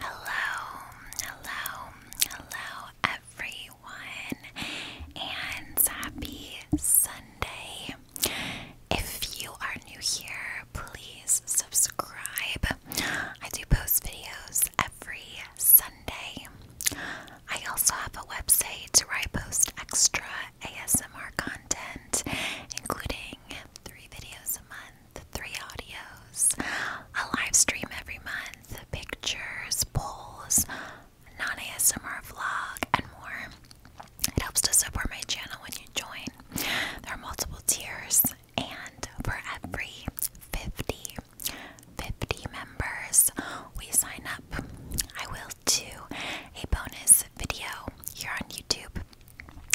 Hello, hello, hello, everyone, and happy Sunday. If you are new here, please subscribe. I do post videos every Sunday. I also have a website where I post extra ASMR content, including three videos a month. The three audios, a live stream every month, pictures, polls, non ASMR vlog, and more. It helps to support my channel when you join. There are multiple tiers, and for every 50, 50 members we sign up, I will do a bonus video here on YouTube.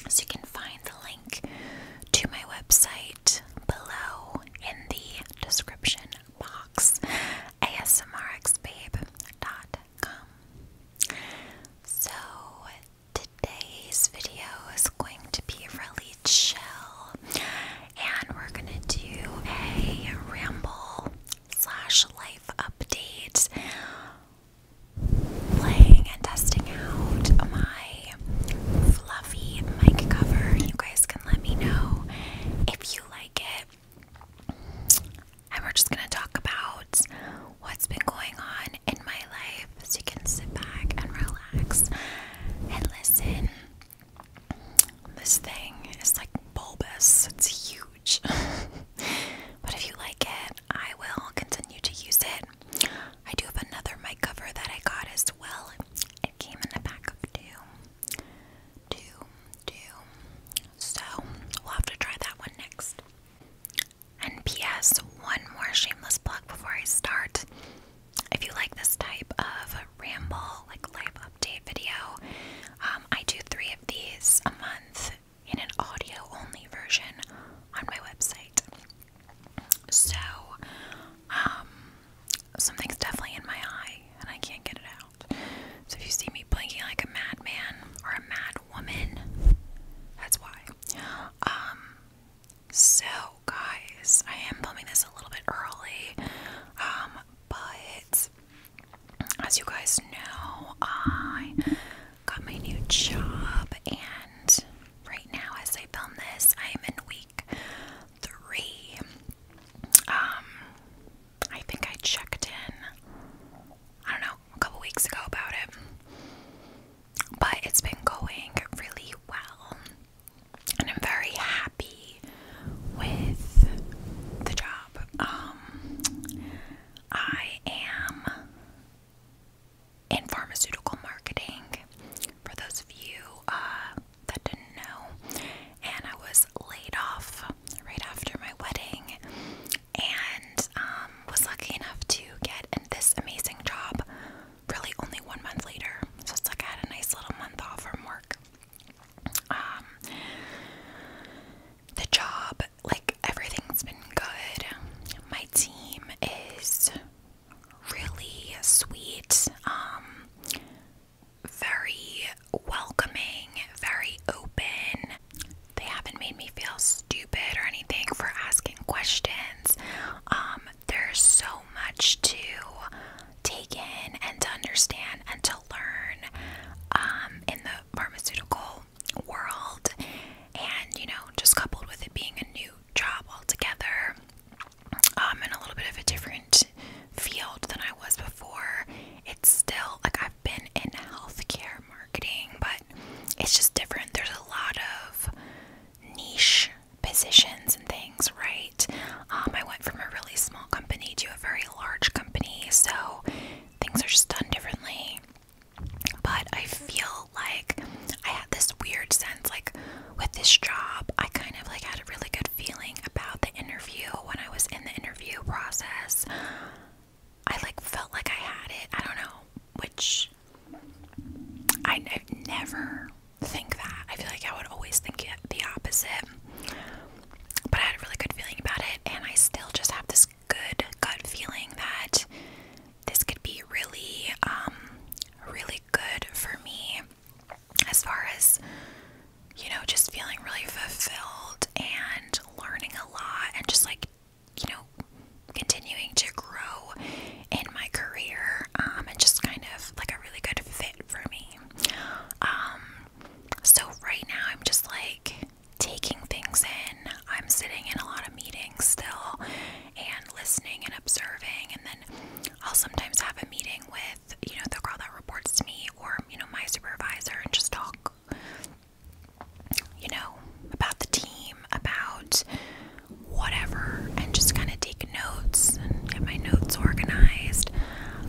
So you can find the link to my website below in the description box asmrxbabe.com. So today's video is going to be really chill and we're gonna do a ramble slash life update playing and testing out my fluffy mic cover. You guys can let me know if you like it. And we're just going to talk about what's been going on in my life so you can sit back and relax and listen. This thing is like bulbous, it's huge. but if you like it, I will continue to use it. I do have another mic cover that I got as well. It came in a pack of two. So we'll have to try that one next. And P.S. One more shameless plug before I start. If you like this type of ramble, like live update video, um, I do three of these a month in an audio only version on my website. So, um, something's definitely in my eye and I can't get it out. So, if you see me blinking like a madman or a mad woman, that's why. Um, so guys, I am filming this a little bit early, um, but as you guys know, I got my new job and right now as I film this. I am in week three. Um, I think I checked in, I don't know, a couple weeks ago about it. But it's been going really well. And I'm very happy with the job. Um, I am in pharmaceutical marketing. For those of you uh, that didn't know, and I was laid off right after my wedding, and um, was lucky enough to get in this amazing job. Really, only one month later, so it's like I had a nice little month off from work. Um, the job, like everything's been good. My team is really sweet, um, very welcoming, very open. They haven't made me feel stupid or anything for asking questions. Um, there's so much to take in and to understand and to learn um, in the pharmaceutical world, and you know, just coupled with it being a new job altogether. Um, in a little bit of a different field than I was before. It's still like I've been in healthcare marketing, but it's just different. There's a lot of niche positions and things, right? Um, I went from a really small company to a very large company, so things are just done differently. But I feel like I had this weird sense like with this job, I kind of like had a really good feeling about the interview when I was in the interview process. I like felt like I had it. I don't know, which I never think that. I feel like I would always think it the opposite. But I had a really good feeling about it, and I still just have this good gut feeling that this could be really, um, really good for me as far as, you know, just feeling really fulfilled and learning a lot and just like, you know, continuing to grow in my career um, and just kind of like a really good fit for me. Um, so, right now, I'm just like taking things in. I'm sitting in a lot of meetings still and listening and observing and then I'll sometimes have a meeting with, you know, the girl that reports to me or, you know, my supervisor and just talk, you know, about the team, about whatever, and just kind of take notes and get my notes organized.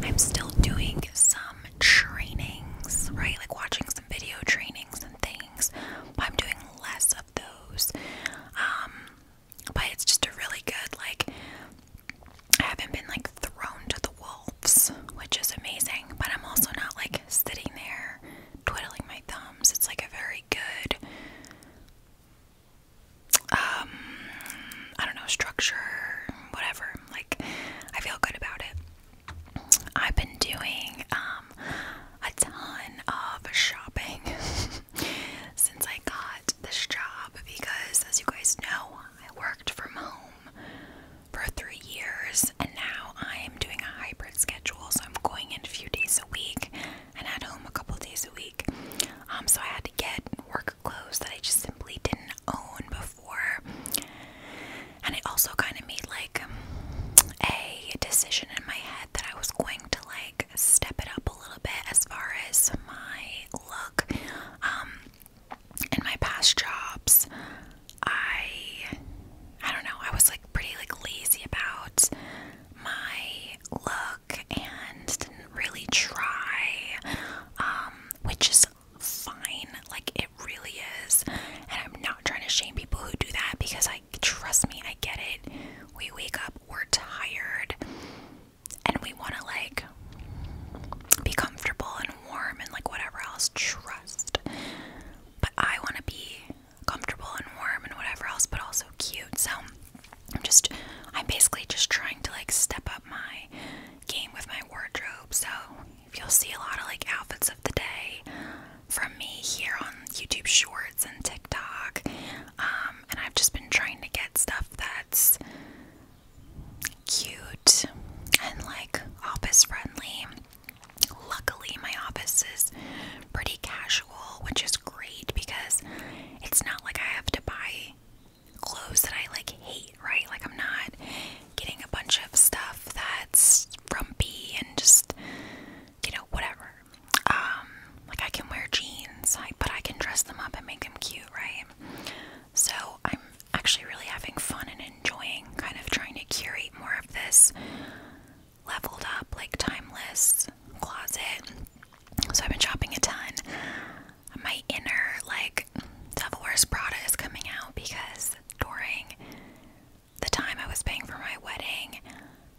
I'm still doing some trainings, right? Like watching some video trainings and things. I'm doing less of those. Um, but it's just a really good, like, I haven't been like thrown to the wolves, which is amazing. But I'm also not like sitting there twiddling my thumbs. It's like a very good, um, I don't know, structure, whatever. Like, I feel good about it. I've been doing, um, a ton of shopping since I got this job because, as you guys know, I worked from home for three years and now I am doing a hybrid schedule. So I'm going in a few days a week and at home a couple days a week. Um, so I had to get work clothes that I just simply didn't own before. And it also kind of made like a decision in my head that I was going to like step it up a little bit as far as my look. Um, in my past jobs, I I don't know, I was like pretty like lazy about my look and didn't really try. Um, which is fine, like it really is. And I'm not trying to shame people who do that because I trust me, I get it. We wake up we're tired and we want to like be comfortable and warm and like whatever else. Trust. But I want to be comfortable and warm and whatever else, but also cute. So I'm just, I'm basically just trying to like step up my game with my wardrobe. So if you'll see a lot of like outfits of the day from me here on YouTube Shorts and TikTok, um, and I've just been trying to get stuff that's cute and like office friendly. Luckily, my office is pretty casual, which is great because it's not like I have to buy clothes that I like hate, right? Like, I'm not getting a bunch of stuff that's frumpy and just, you know, whatever um, like I can wear jeans, but I can dress them up and make them cute, right? So I'm actually really having fun and enjoying kind of trying to curate more of this leveled up, like timeless closet. So I've been shopping a ton. My inner, like, Devil Wears Prada is coming out because during the time I was paying for my wedding,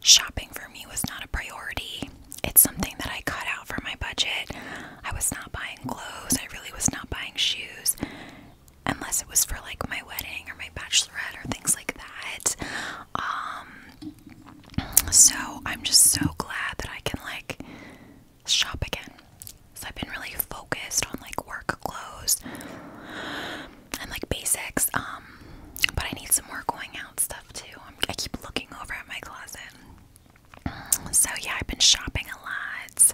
Shopping for me was not a priority. It's something that I cut out from my budget. I was not buying clothes, I really was not buying shoes, unless it was for like my wedding or my bachelorette or things like that. Um, so I'm just so glad that I can like shop again. So I've been really focused on like work clothes and like basics. Um, but I need some more going stuff too. i keep looking over at my closet. So yeah, I've been shopping a lot.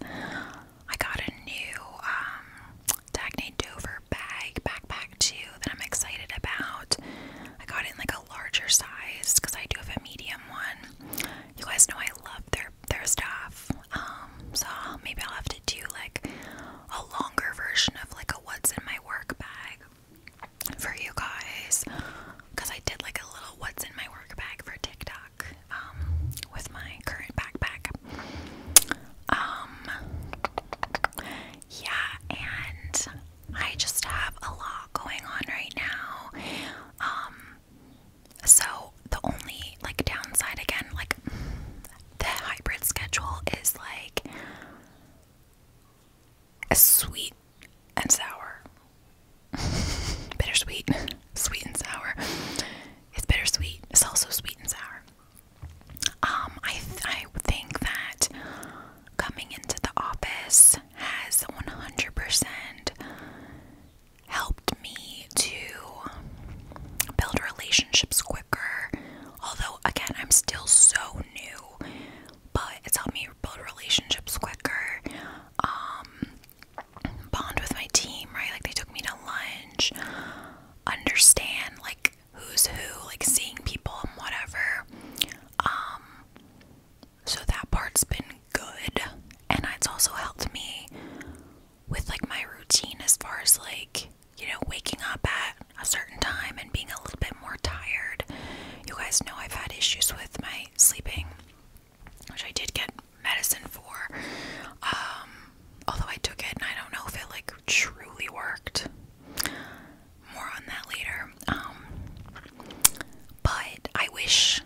I got a new um, Dagny Dover bag backpack too that I'm excited about. I got it in like a larger size because I do have a medium one. You guys know I love their their stuff. Um, so maybe I'll have to do like a longer version of like a what's in my work bag for you guys because I did like a little what's in my work bag for TikTok um, with my current backpack. Um, yeah, and I just have a lot going on right now. Um, so the only like downside again, like the hybrid schedule is like as sweet and sour. bittersweet. Sweet and sour. It's bittersweet. It's also sweet and sour. Um, I, I think that coming into the office has 100% helped me to build relationships quicker. Although, again, I'm still so new but it's helped me build relationships quicker, um, bond with my team, right? Like they took me to lunch, understand like who's who, like seeing people and whatever. Um, so that part's been good, and it's also helped me with like my routine as far as like you know waking up at a certain time and being a little bit more tired. You guys know I've had issues with my sleeping, which I did get medicine for. Um, although I took it and I don't know if it like truly worked. More on that later. Um, but I wish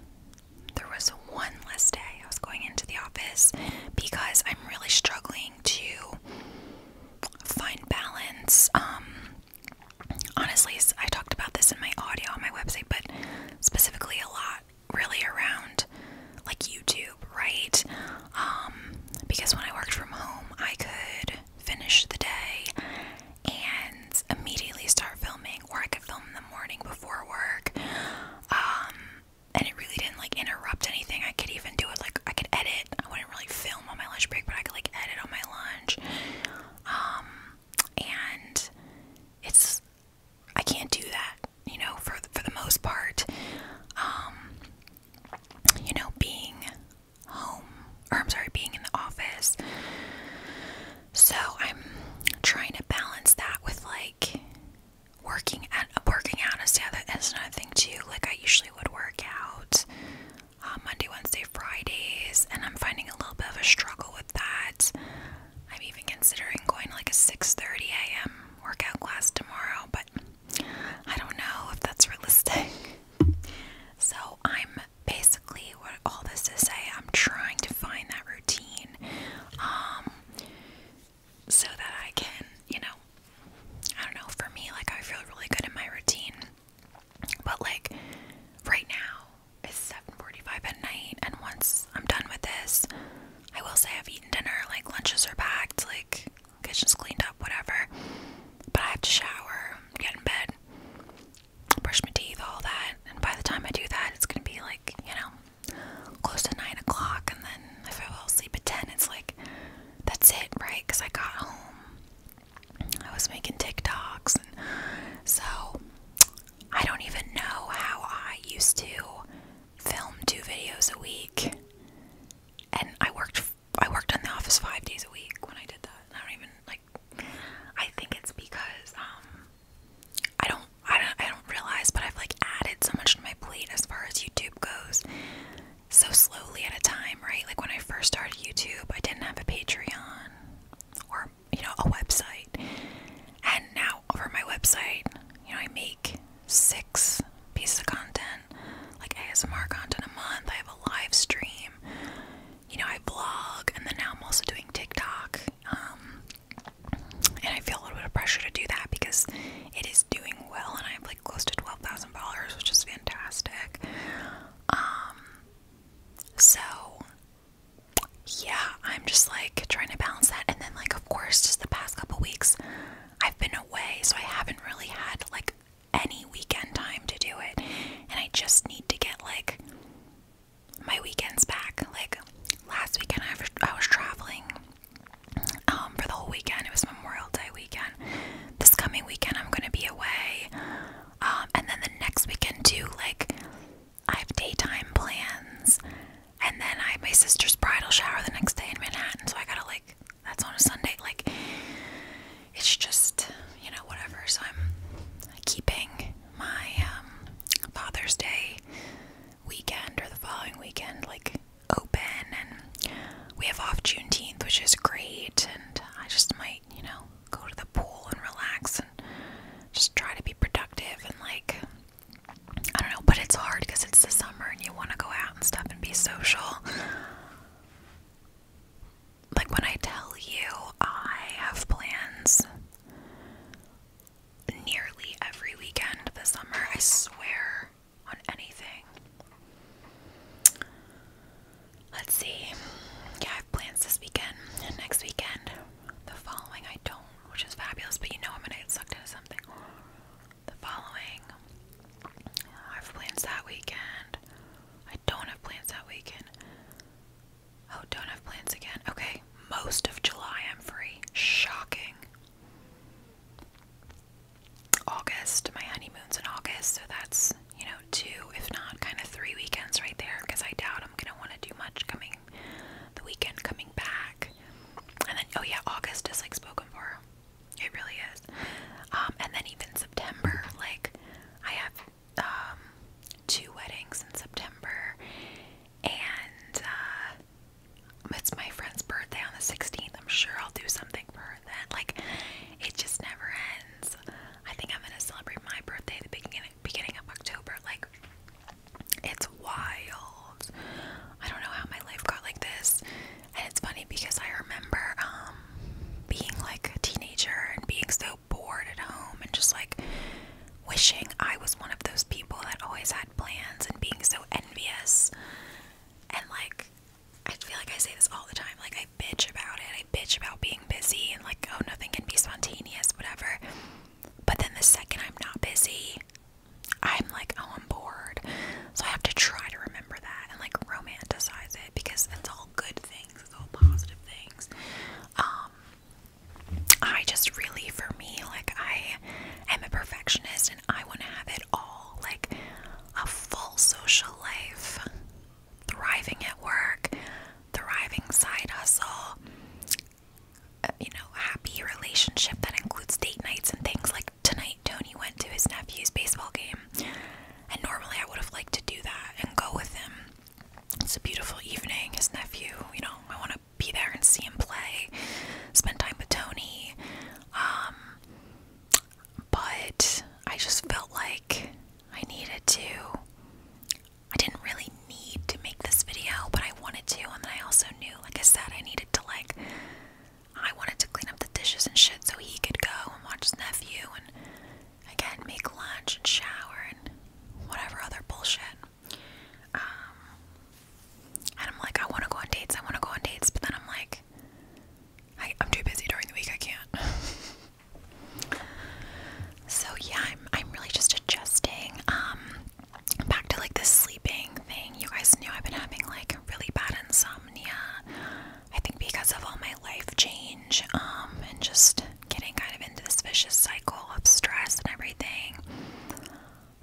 there was one less day I was going into the office because I'm really struggling to find balance. Um, honestly, I talked about this in my audio on my website, but specifically a lot really around like YouTube, right? Um, because when I worked from home, I could finish the day and immediately start filming, or I could film in the morning before work. Um, and it really didn't like interrupt anything. I could even do it like I could edit I wouldn't really film on my lunch break, but I could like edit on my lunch. Um, and it's I can't do that, you know, for for the most part. Um, you know, being home, or I'm sorry, being in the office. So I'm trying to balance that with like working at working out is the other, is another thing too. Like I usually would work out uh, Monday, Wednesday, Fridays, and I'm finding a little bit of a struggle with that. I'm even considering going to like a 6:30 a.m. workout class tomorrow, but I don't know if that's realistic. So I'm basically what all this to say. I'm trying to find that routine, um, so that I can, you know, I don't know. For me, like I feel really good in my routine. But like right now it's 7:45 at night and once I'm done with this, I will say I've eaten dinner, like lunches are packed, like kitchen's cleaned up, whatever. But I have to shower, get in bed, brush my teeth, all that. And by the time I do that, it's gonna be like, you know, close to nine o'clock. And then if I fall asleep at 10, it's like, that's it, right? Because I got home I was making TikToks, and so I don't even know how I used to film two videos a week. And I worked, I worked in the office five days a week when I did that. I don't even like. I think it's because um, I don't, I don't, I don't realize, but I've like added so much to my plate as far as YouTube goes. So slow slowly at a time, right? Like when I first started YouTube, I didn't have a Patreon or, you know, a website. And now over my website, you know, I make six pieces of content, like ASMR content a month. I have a live stream, you know, I blog, and then now I'm also doing TikTok. Um, and I feel a little bit of pressure to do that because it is doing well, and I have like close to $12,000, which is fantastic. Um, so, yeah, I'm just like trying to balance that. And then, like, of course, just the past couple weeks, I've been away, so I haven't really had like any weekend time to do it. And I just need to get like my weekends back. Like, last weekend, I was traveling um, for the whole weekend, it was Memorial Day weekend. This coming weekend, I'm gonna be away. Um, and then the next weekend too, like I have daytime plans, and then I have my sister's bridal shower the next day in Manhattan. So I gotta like that's on a Sunday. Like it's just you know whatever. So I'm keeping my um, Father's Day weekend or the following weekend like open, and we have off Juneteenth, which is great. And I just might you know go to the pool and relax and just try to be productive and like I don't know, but it's hard because it's the summer and you want to go out and stuff and be social. Like when I tell you I have plans nearly every weekend this summer, I swear on anything. Let's see. Yeah, I have plans this weekend next weekend. The following, I don't, which is fabulous, but you know I'm gonna get sucked into something. The following, I have plans that weekend. I don't have plans that weekend. Oh, don't have plans again. Okay, most of July I'm free. Shocking. August, my honeymoon's in August, so that's you know, two, if not kind of three weekends right there, because I doubt I'm gonna want to do much coming the weekend coming back. And then, oh yeah, August is like spoken for. It really is. Um, and then even September, like I have um, two weddings in September, and uh, it's my friend's birthday on the 16th. I'm sure I'll do something for her then. Like, it just never ends. I think I'm gonna celebrate my birthday the beginning beginning of October. Like it's wild. I don't know how my life got like this. And it's funny because I remember um, being like a teenager and being so bored at home and just like wishing I was one of those people that always had plans and being so envious and like I feel like I say this all the time like I bitch about it bitch about being busy and like, oh, nothing can be spontaneous, whatever. But then the second I'm not busy, I'm like, oh, I'm bored. So I have to try to remember that and like romanticize it because it's all good things, it's all positive things. Um, I just really, for me, like, I am a perfectionist and I want to have it all like a full social life, thriving at work, thriving side hustle, uh, you know, happy relationship that includes date nights and things like tonight Tony went to his nephew's baseball game. And normally I would have liked to do that and go with him. It's a beautiful evening, his nephew, you know, I want to be there and see him play, spend time with Tony. Um, but I just felt like I needed to. I didn't really need to make this video, but I wanted to, and then I also knew, like I said, I needed to, like, I wanted to clean up the dishes and shit so he could go and watch his nephew and, again, make lunch and shower and whatever other bullshit. Um, and I'm like, I want to go on dates, I want to go on dates, but then I'm like, I'm too busy during the week, I can't. So yeah, I'm I'm really just adjusting. Um back to like this sleeping thing. You guys know I've been having like really bad insomnia. I think because of all my life change, um, and just getting kind of into this vicious cycle of stress and everything.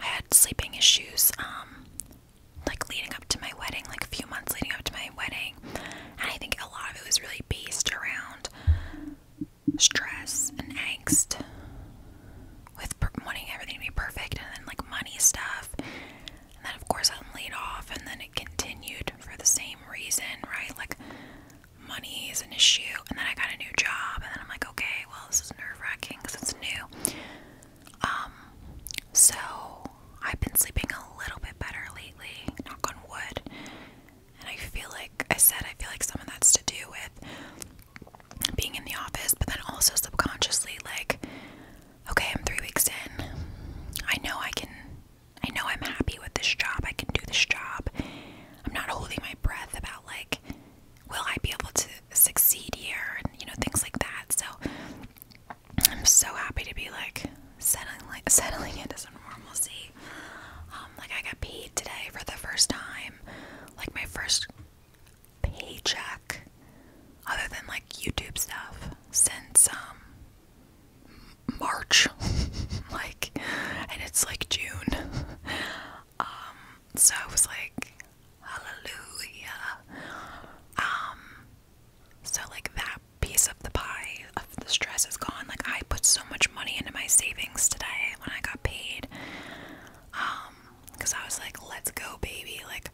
I had sleeping issues, um, like leading up to my wedding, like a few months leading up to my wedding. And I think a lot of it was really based around stress and angst with wanting everything to be perfect and then like money stuff. And then, of course, I'm laid off, and then it continued for the same reason, right? Like, money is an issue. And then I got a new job, and then I'm like, okay, well, this is nerve wracking because it's new. Um, so I've been sleeping a little bit better lately, knock on wood. And I feel like I said, I feel like some of that's to do with being in the office, but then also subconsciously, like, okay, I'm three weeks in. I know I can, I know I'm happy with this job. I can do this job. I'm not holding my breath about, like, will I be able to succeed here? And, you know, things like that. So I'm so happy to be like, settling, like, settling into some normalcy. Um, like I got paid today for the first time, like my first paycheck, other than like YouTube stuff since um March, like, and it's like June. Um, so I was like, hallelujah. Um, so like that piece of the pie of the stress is gone. Like I put so much money into my savings today when I got paid. Um, because I was like, let's go, baby. Like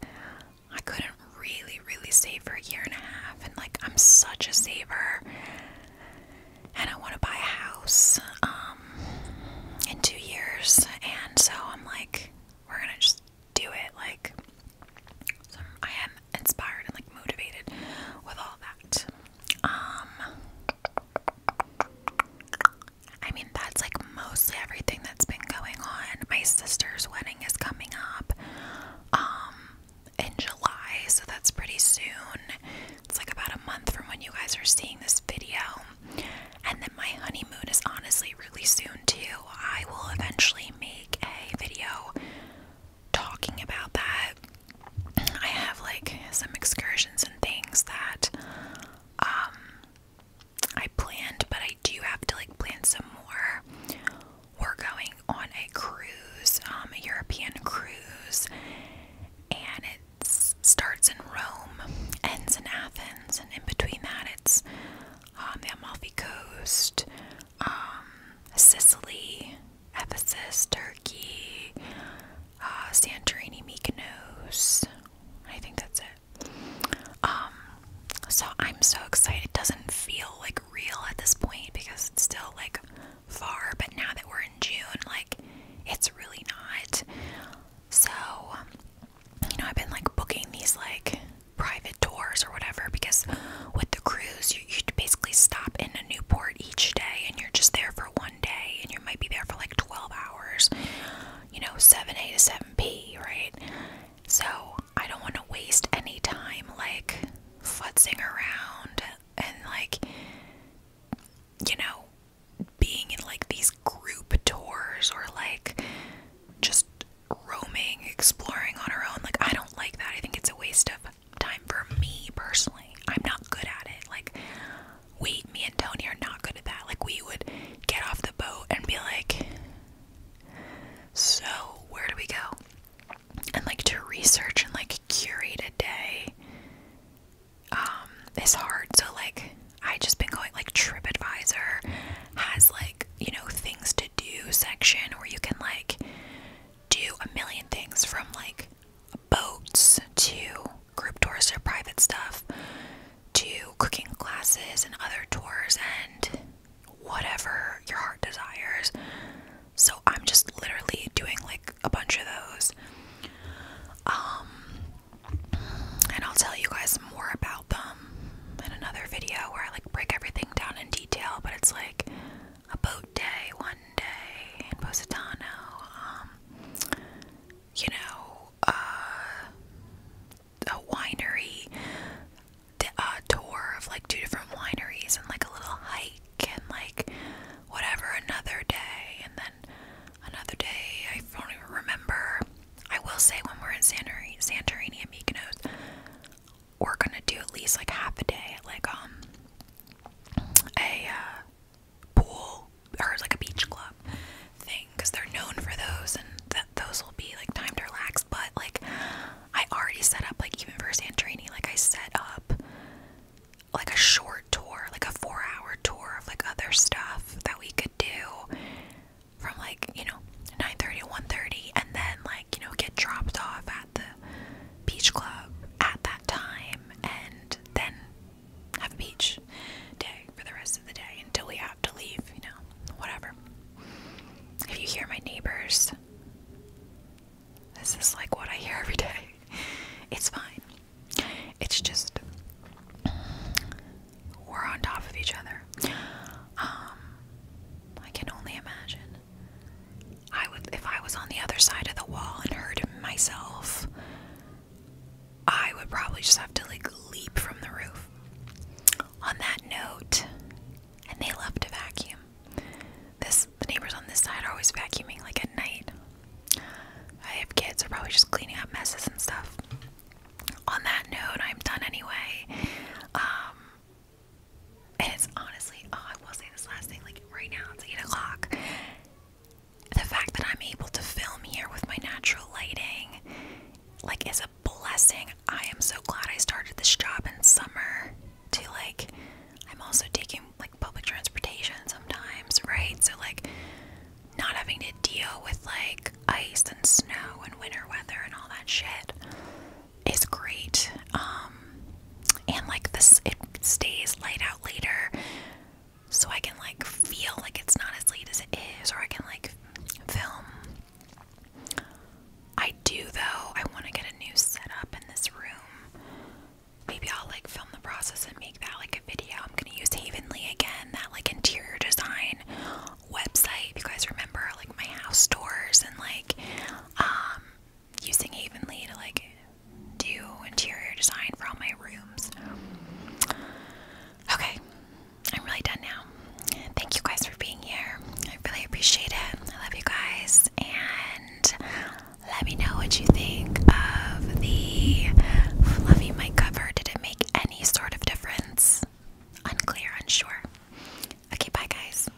I couldn't really, really save for a year and a half, and like I'm such a saver. And I want to buy a house um, in two years, and so I'm like, we're gonna just do it. Like, so I am inspired and like motivated with all that. Um I mean that's like mostly everything that's been going on. My sister's wedding is coming up um in July, so that's pretty soon. It's like about a month from when you guys are seeing this video. And then my honeymoon is honestly really soon too. I will eventually make a video talking about that. I have like some excursions and things that um I planned, but I do have to like plan some more. We're going on a cruise, um, a European cruise, and it starts in Rome, ends in Athens, and in between that, it's um, the Amalfi Coast, um, Sicily, Ephesus, Turkey, uh, Santorini, Mykonos. I think that's it. Um, so I'm so excited. It doesn't feel like real at this point because it's still like far, but now that we're in June, like it's really not. So, you know, I've been like booking these like private tours or whatever because with the cruise, you you basically stop in a new port each day, and you're just there for one day, and you might be there for like 12 hours. You know, 7A to 7P, right? So I don't want to waste any time like futzing around and like you know being in like these group tours or like just roaming exploring on our own like i don't like that i think it's a waste of time for me personally. I'm not good at it. Like wait, me and Tony are not good at that. Like we would get off the boat and be like, so where do we go? And like to research and like curate a day um it's hard. So like I just been going like TripAdvisor has like, you know, things to do section where you can like do a million things from like boats to group tours or private stuff to cooking classes and other tours and whatever your heart desires. So I'm just literally doing like a bunch of those. Um, and I'll tell you guys more about them in another video where I like break everything down in detail, but it's like a boat day one day in Positano. Um, you know, uh, a winery tour of like two different wineries and like a little hike and like whatever another day and then another day. I don't even remember. I will say when we're in Santorini, Santorini we're gonna do at least like half a day, like um, a uh, pool or like a beach club thing, because they're known for those, and that those will be like time to relax. But like, I already set up like even for Santorini, like I set up like a short tour, like a four-hour tour of like other stuff that we could do from like you know 9:30 to 1:30, and then like you know get dropped off at the beach club at that time and then have a beach day for the rest of the day until we have to leave, you know, whatever. If you hear my neighbors, this is like what I hear every day. It's fine. It's just we're on top of each other. Um, I can only imagine. I would if I was on the other side of the wall and heard myself, I would probably just have to like leap from the roof. On that note, and they love to vacuum. This the neighbors on this side are always vacuuming like at night. I have kids, they're probably just cleaning up messes and stuff. On that note, I'm done anyway. Um, and it's honestly, oh, I will say this last thing like right now, it's 8 o'clock. The fact that I'm able to film here with my natural lighting, like, is a blessing. I am so glad I started this job in summer to like, I'm also taking like public transportation sometimes, right? So, like, not having to deal with like ice and snow and winter weather and all that shit is great. Um, and like this, it stays light out later, so I can like feel like it's not as late as it is, or I can like film. I do though. I want to get a new setup in this room. Maybe I'll like film the process and make that like a video. I'm gonna use Havenly again, that like interior design website. If you guys remember like my house tours and like um using Avonlea to like do interior design for all my rooms. Okay, I'm really done now. Thank you guys for being here. I really appreciate it. I love you guys. And let me know what you think of the fluffy my cover. Did it make any sort of difference? Unclear, unsure. Okay, bye guys.